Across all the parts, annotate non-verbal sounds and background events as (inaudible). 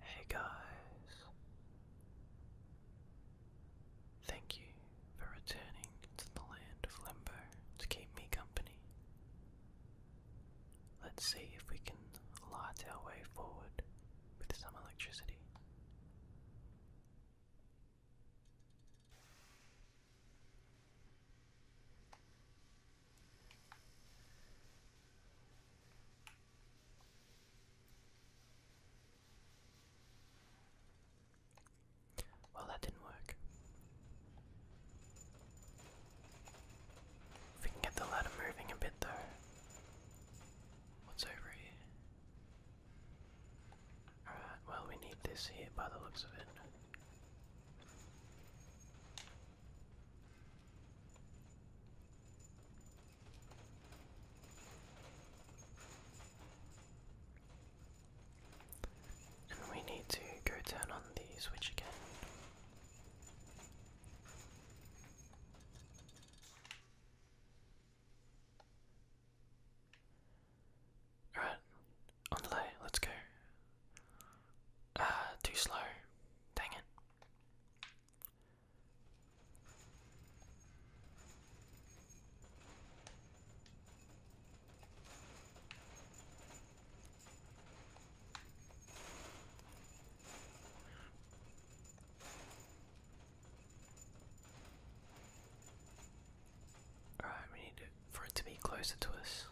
Hey guys, thank you for returning to the land of Limbo to keep me company. Let's see if we can light our way forward with some electricity. Well, that didn't work. we can get the ladder moving a bit, though, What's over here? Alright, well, we need this here by the looks of it. And we need to go turn on the switch again. Alright, on the lay, let's go. Ah, too slow. Dang it. Alright, we need for it to be closer to us.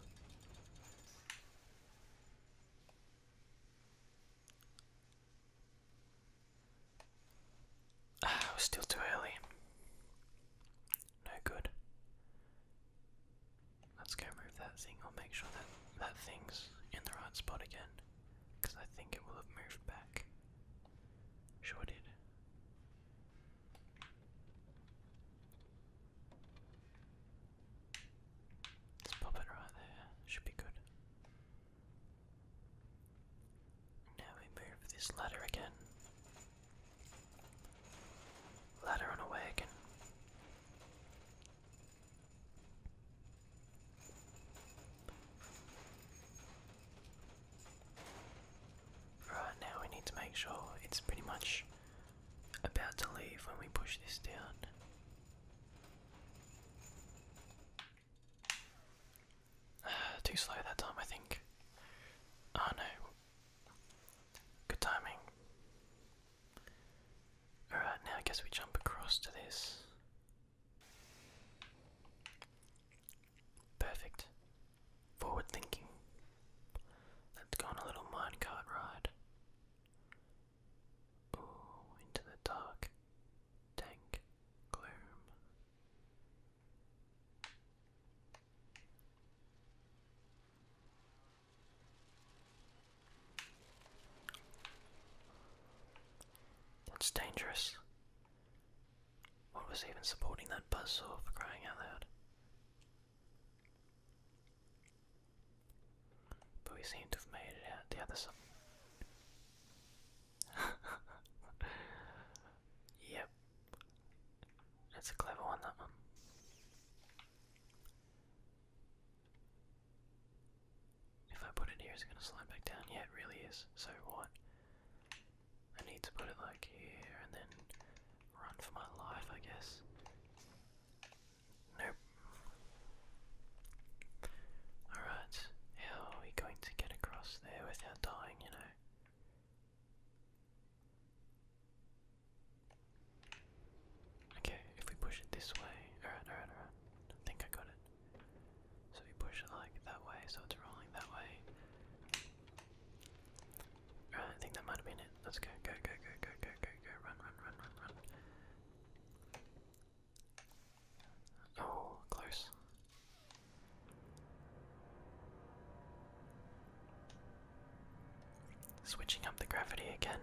Ah, was still too early. No good. Let's go move that thing. I'll make sure that that thing's in the right spot again. Because I think it will have moved back. Sure it did. Let's pop it right there. Should be good. Now we move this ladder again. Ladder on a wagon. Right now we need to make sure it's pretty much about to leave when we push this down. (sighs) too slow that time, I think. Oh no. Good timing. Alright, now I guess we jump across to this. Perfect. Forward thinking. Let's go on a little minecart ride. Ooh, into the dark, dank gloom. That's dangerous. What was even supporting that buzz saw for crying out loud? But we seem to have made it out the other side. (laughs) yep. That's a clever one, that one. If I put it here, is it going to slide back down? Yeah, it really is. So what? I need to put it like here and then run for my life, I guess. Nope. Alright, how are we going to get across there without dying, you know? Okay, if we push it this way, alright, alright, alright. think I got it. So we push it like that way, so it's rolling that way. Alright, I think that might have been it. Let's go, go, go, go, go, go, go, go, run, run, run, run, run. Oh, close. Switching up the gravity again.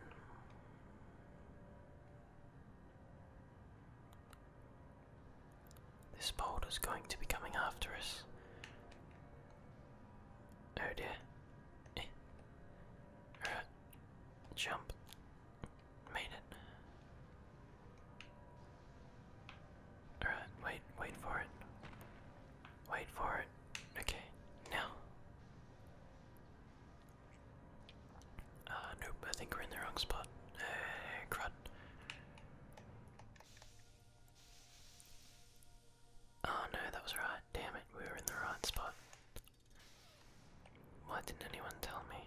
This boulder is going to be coming after us. Oh dear. Eh. Jump. Made it. Alright, wait, wait for it. Wait for it. Okay, now. Uh, nope, I think we're in the wrong spot. Uh, Oh no, that was right. Damn it, we were in the right spot. Why didn't anyone tell me?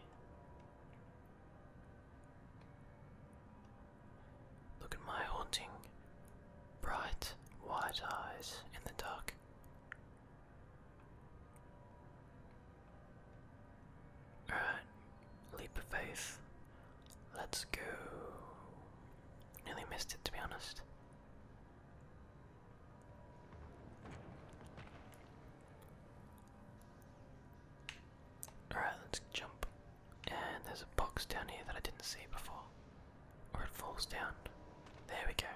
Look at my haunting, bright, white eyes in the dark. Alright, leap of faith. Let's go. Nearly missed it to be honest. Alright, let's jump. And there's a box down here that I didn't see before. Or it falls down. There we go.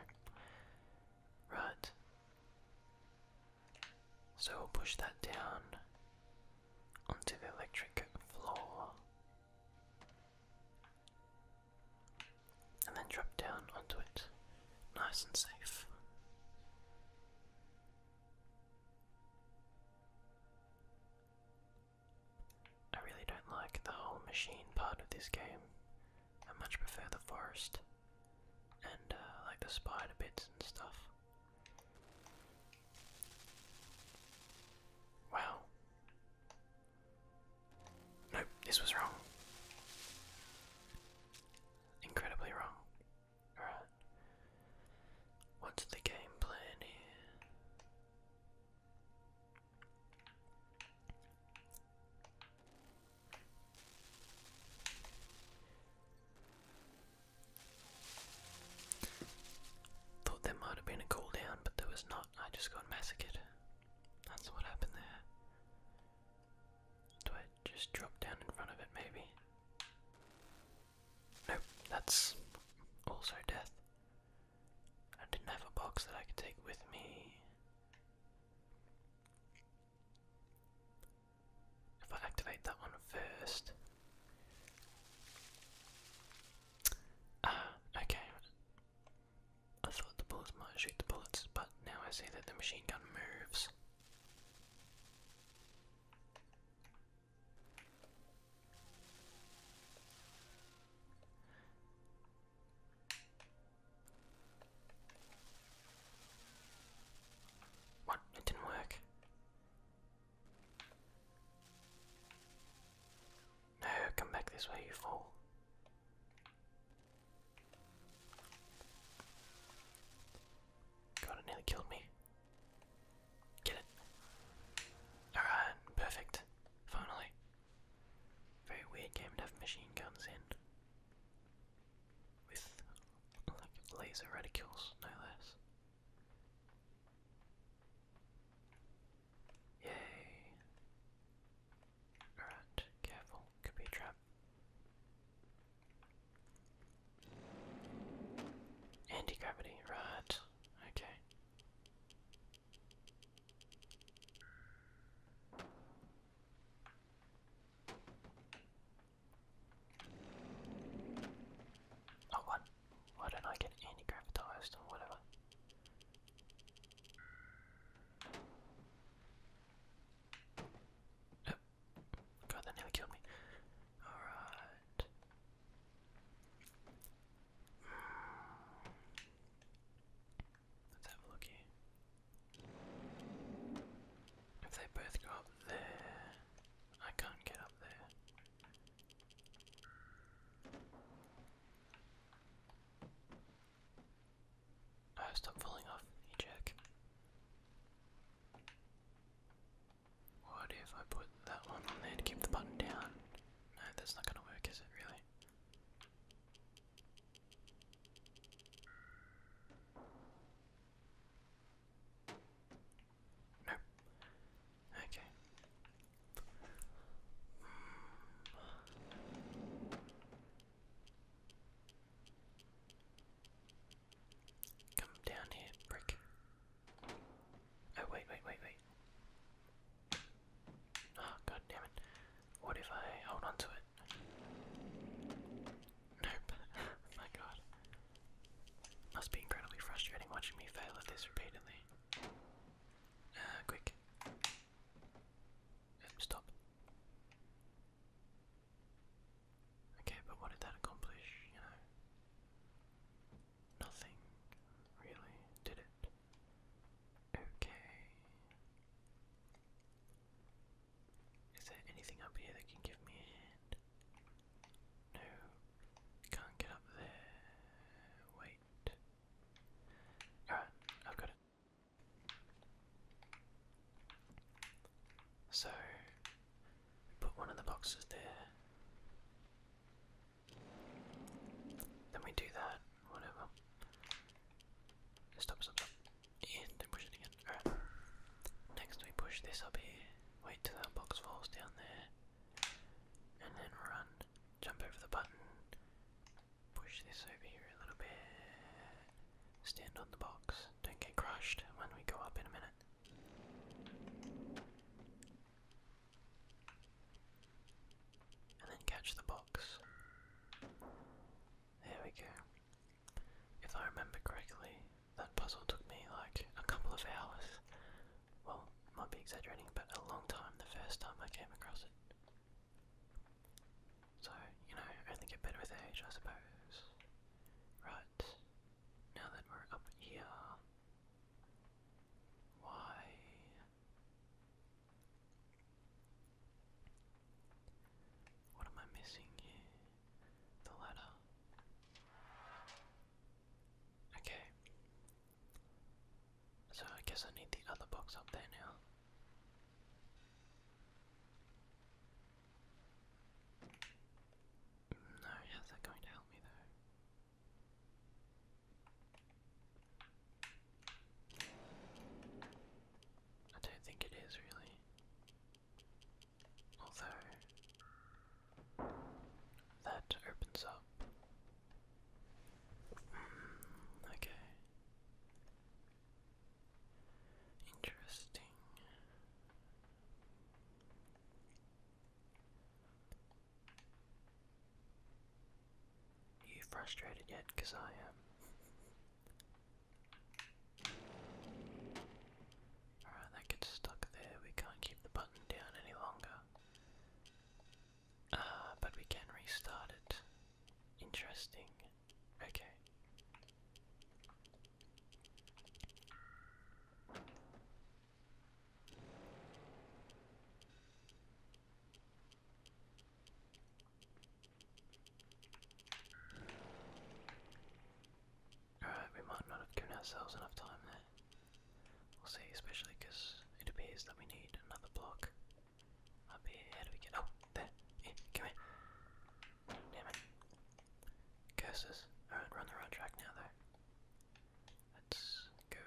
Right. So we'll push that down onto the electric floor. And then drop down onto it. Nice and safe. I really don't like the whole machine part of this game. I much prefer the forest and uh, like the spider bits and stuff. Wow. Nope, this was wrong. Incredibly wrong. Alright. What's the game plan here? Thought there might have been a cooldown, but there was not. I just got massacred. That's what happened there. Do I just drop down in front of it, maybe? Nope, that's also death. I didn't have a box that I could take with me. If I activate that one first. Ah, okay. I thought the bullets might shoot the bullets, but now I see that the machine gun moves. What? It didn't work. No, come back this way, you fool. God, it nearly killed me. Get it. Alright, perfect. Finally. Very weird game to have machine guns in. With like laser reticules, no less. Yay. Alright, careful, could be a trap. Anti gravity, right, okay. Oh, what? Why don't I get any gravitized or whatever? Oh, God, that nearly killed me. Alright. Let's have a look If they both go up there, I can't get up there. Oh, stop falling off, you jerk. What if I put that one on there to keep the button down? No, that's not gonna work, is it really? No. Okay. Come down here, brick. Oh, wait, wait, wait, wait. Oh, God damn it. What if I hold on to it? Nope. (laughs) My God. Must be incredibly frustrating watching me fail at this repeatedly. Uh, quick. Stop. Okay, but what did that accomplish, you know? Nothing, really, did it? Okay. Is there anything up here that can give me a hand? No. Can't get up there. Wait. Alright, I've got it. So, put one of the boxes there. Then we do that, whatever. Stop, stop, And push it again. Alright. Next we push this up here. Wait till that box falls down there. And then run. Jump over the button. Push this over here a little bit. Stand on the box. Don't get crushed when we go up in a minute. And then catch the box. There we go. If I remember correctly, that puzzle took me like a couple of hours. Well, might be exaggerating, but a long time the first time I came across it. So, you know, only get better with age, I suppose. Right, now that we're up here, why what am I missing here? The ladder. Okay. So I guess I need the other box up there now. No, how's that going to help me though? I don't think it is really. Although, that opens up. Hmm, okay. Interesting. Are you frustrated yet? Because I am. Alright, that gets stuck there. We can't keep the button down any longer. Ah, but we can restart it. Interesting. Okay. Alright, we might not have given ourselves enough time there. We'll see, especially because it appears that we need another block. Up here, how do we get. Oh, there! Here, come here! Damn it. Curses. Alright, we the right track now, though. Let's go.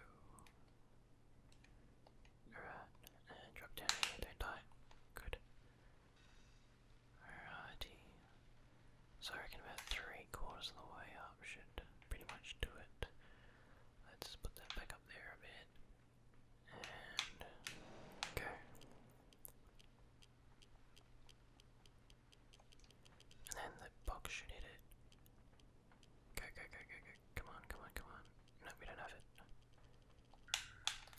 Alright, uh, drop down don't die. Good. Alrighty. So I reckon about three quarters of the way up should pretty much do it. Let's put that back up there a bit. And and then the box should hit it. Go, go, go, go, go. Come on, come on, come on. No, we don't have it.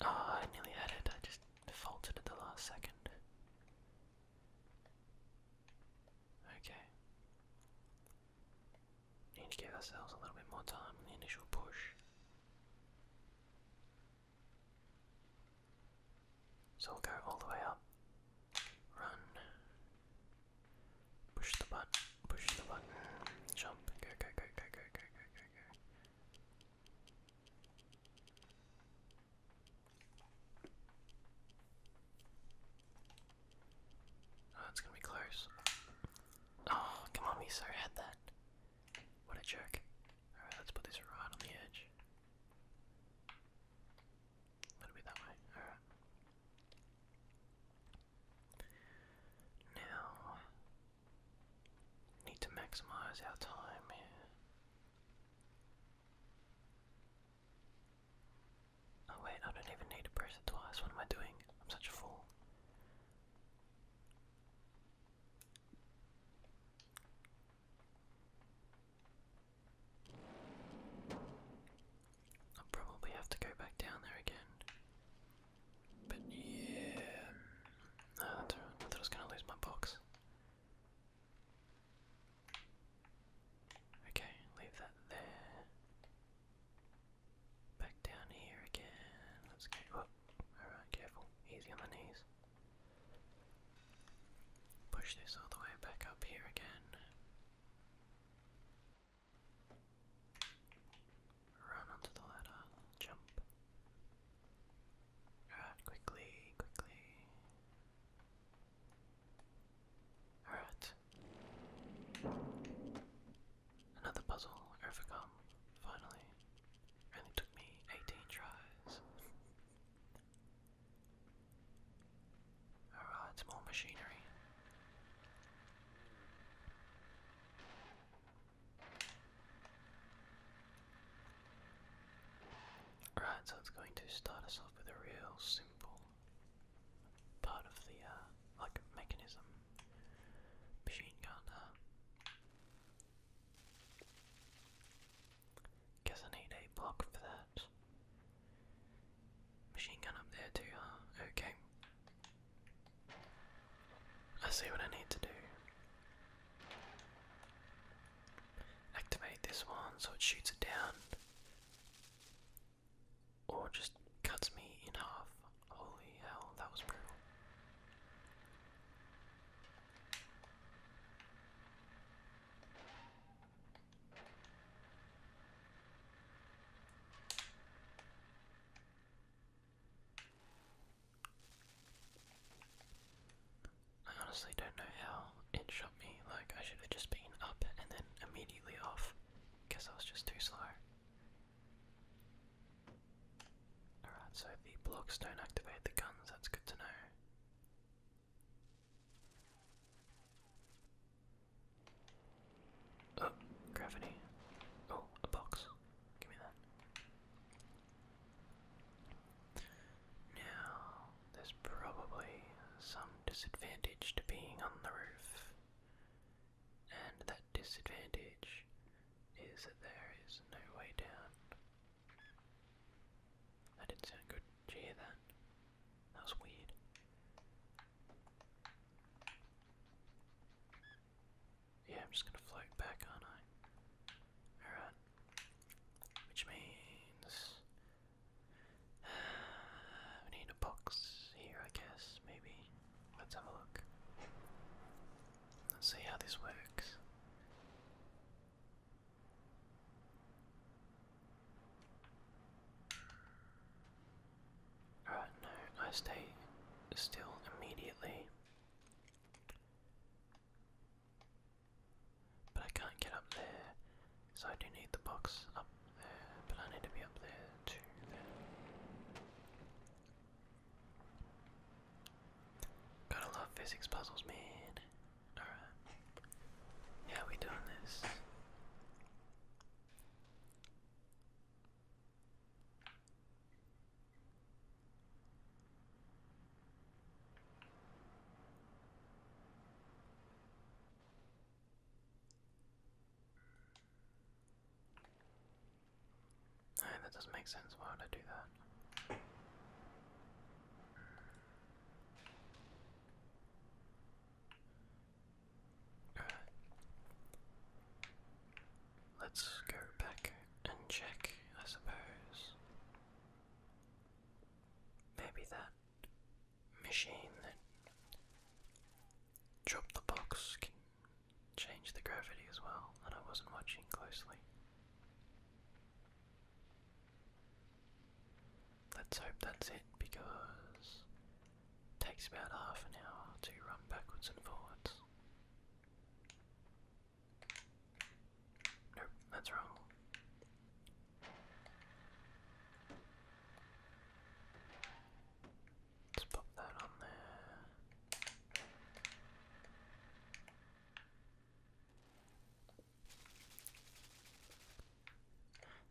Oh, I nearly had it. I just faltered at the last second. Okay. Need to give ourselves a little bit more time on the initial push. So we'll go all the way up. Run. Push the button, push the button, jump, go, go, go, go, go, go, go, go, go. Oh, it's gonna be close. Oh, come on, Miso had that. What a jerk. Alright, let's put this right on the edge. Now, need to maximize our time here. Oh wait, I don't even need to press it twice. What am I doing? I'm such a fool. I'll probably have to go back down there again. But yeah. No, ah, that's I was going to lose my box. Okay, leave that there. Back down here again. Let's go. Oh, Alright, careful. Easy on the knees. Push this all the way back up here again. Run onto the ladder, jump. Alright, quickly, quickly. Alright. Another puzzle overcome, finally. Only took me 18 tries. Alright, uh, more machinery. Right, so it's going to start us off with a real simple part of the uh, like mechanism machine gun. guess I need a block for that. Machine gun up there too, huh? Okay. I see what I need to do. Activate this one so it shoots it down. Or just cuts me in half. Holy hell, that was brutal. I honestly don't know how it shot me, like, I should have just been up and then immediately off. Guess I was just too slow. Alright, so the blocks don't activate the guns, that's good to know. Uh, gravity. Oh, a box. Give me that. Now, there's probably some disadvantage to being on the roof. And that disadvantage is that there is no way down. That didn't sound good. Did you hear that? That was weird. Yeah, I'm just gonna float back, aren't I? Alright. Which means uh, we need a box here, I guess, maybe. Let's have a look. Let's see how this works. Uh, no, I stay still immediately. But I can't get up there, so I do need the box up there, but I need to be up there too Gotta love physics puzzles, man. Yeah, we doing this. No, that doesn't make sense. Why would I do that? Let's go back and check, I suppose. Maybe that machine that dropped the box can change the gravity as well, and I wasn't watching closely. Let's hope that's it because takes about half an hour to run backwards and forwards. Nope, that's wrong. Let's pop that on there.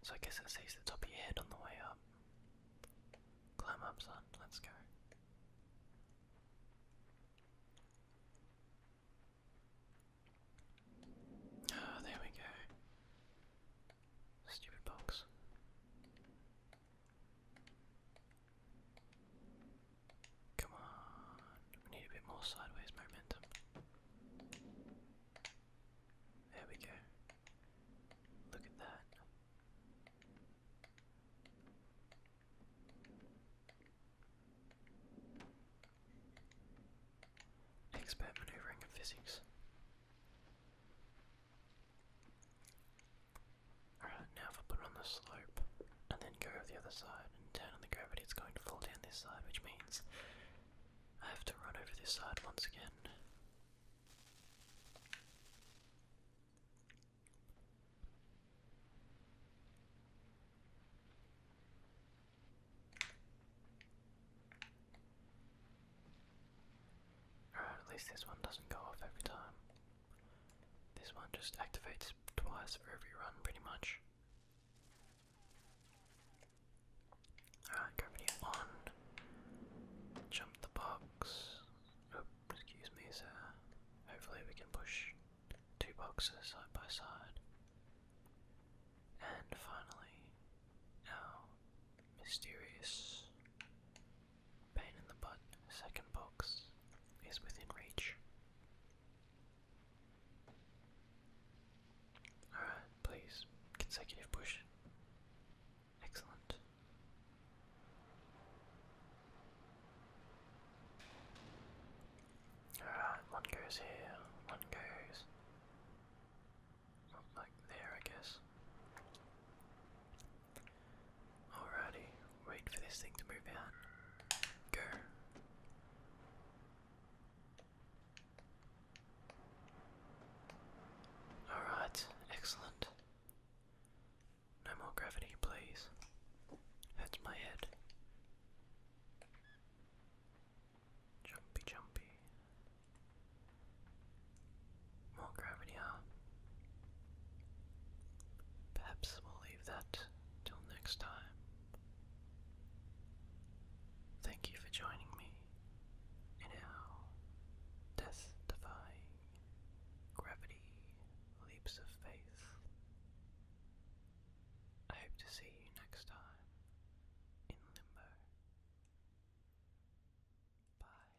So I guess it saves the top of your head on the way up. Climb up, son. Let's go. Ah, there we go. Stupid box. Come on. We need a bit more sideways momentum. There we go. Look at that. Expert maneuvering in physics. Alright, now if I put it on the slope, and then go over the other side and turn on the gravity, it's going to fall down this side, which means I have to run over this side once again. Alright, at least this one doesn't go off every time. This one just activates twice for every run, pretty much. Alright, gravity one. Jump the box. Oh, excuse me, sir. Hopefully we can push two boxes side by side. And finally, our mysterious pain in the butt second box is within reach. Alright, please. Consecutive push. Excellent. Alright, one goes here, one goes up like there, I guess. Alrighty, Wait for this thing to move out. Go. Alright, excellent. No more gravity, please. Hurts my head. Jumpy, jumpy. More gravity, huh? Perhaps we'll leave that till next time, thank you for joining me in our death defying gravity leaps of faith. I hope to see you next time in Limbo. Bye.